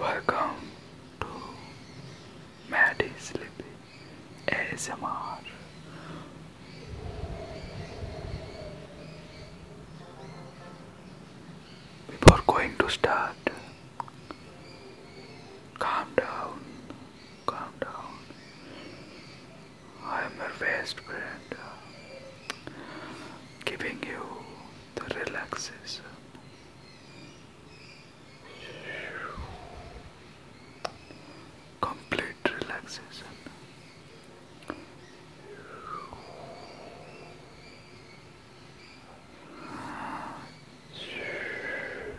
Welcome to Maddie Sleepy ASMR. Before going to start, calm down, calm down. I am your best friend, uh, giving you the relaxation. Complete relaxation.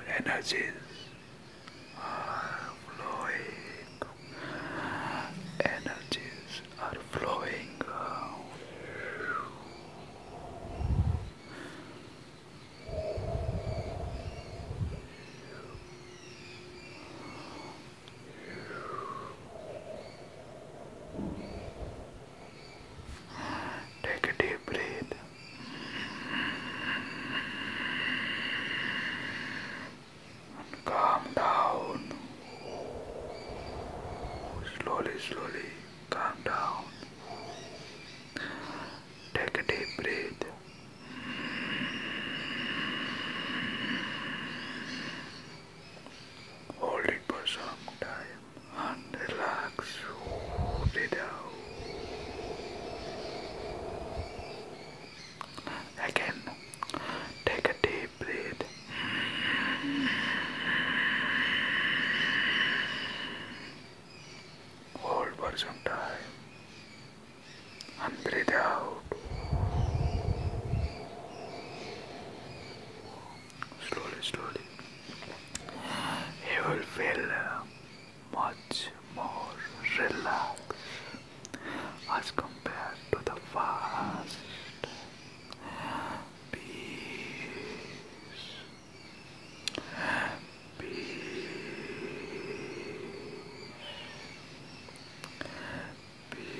Energies are flowing energies are flowing Take a deep breath calm down. Slowly, slowly, calm down. Take a deep breath. Hold it for some time and relax. Breathe out. Again, take a deep breath. Hold for some time and breathe out. Slowly, slowly. You will feel uh, much more relaxed as compared to the fast peace. Peace. Peace. Peace.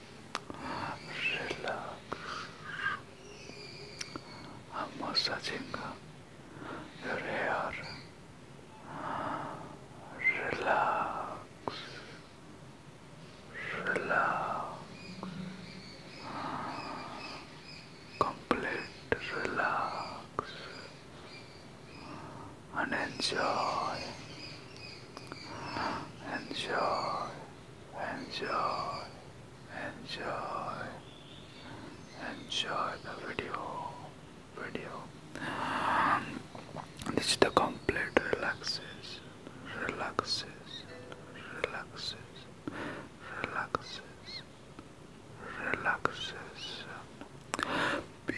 Relax. I'm massaging your hair. Relax. Relax. Complete relax and enjoy. Enjoy enjoy, enjoy, enjoy the video, video. This is the complete relaxes, relaxes, relaxes, relaxes, relaxes. Peace.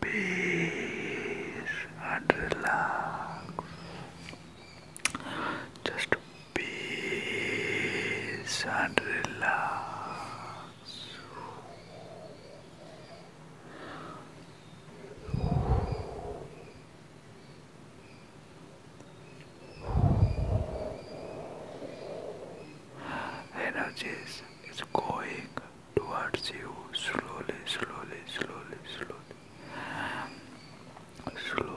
peace and relax. Just peace and relax. Energies is going towards you slowly, slowly, slowly, slowly, slowly, slowly,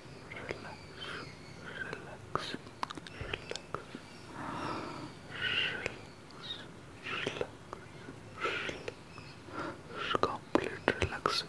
relax, relax, relax, complete relaxation. Relax.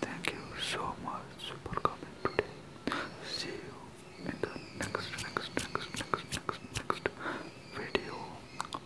Thank you so much for coming today. See you in the next, next, next, next, next, next video.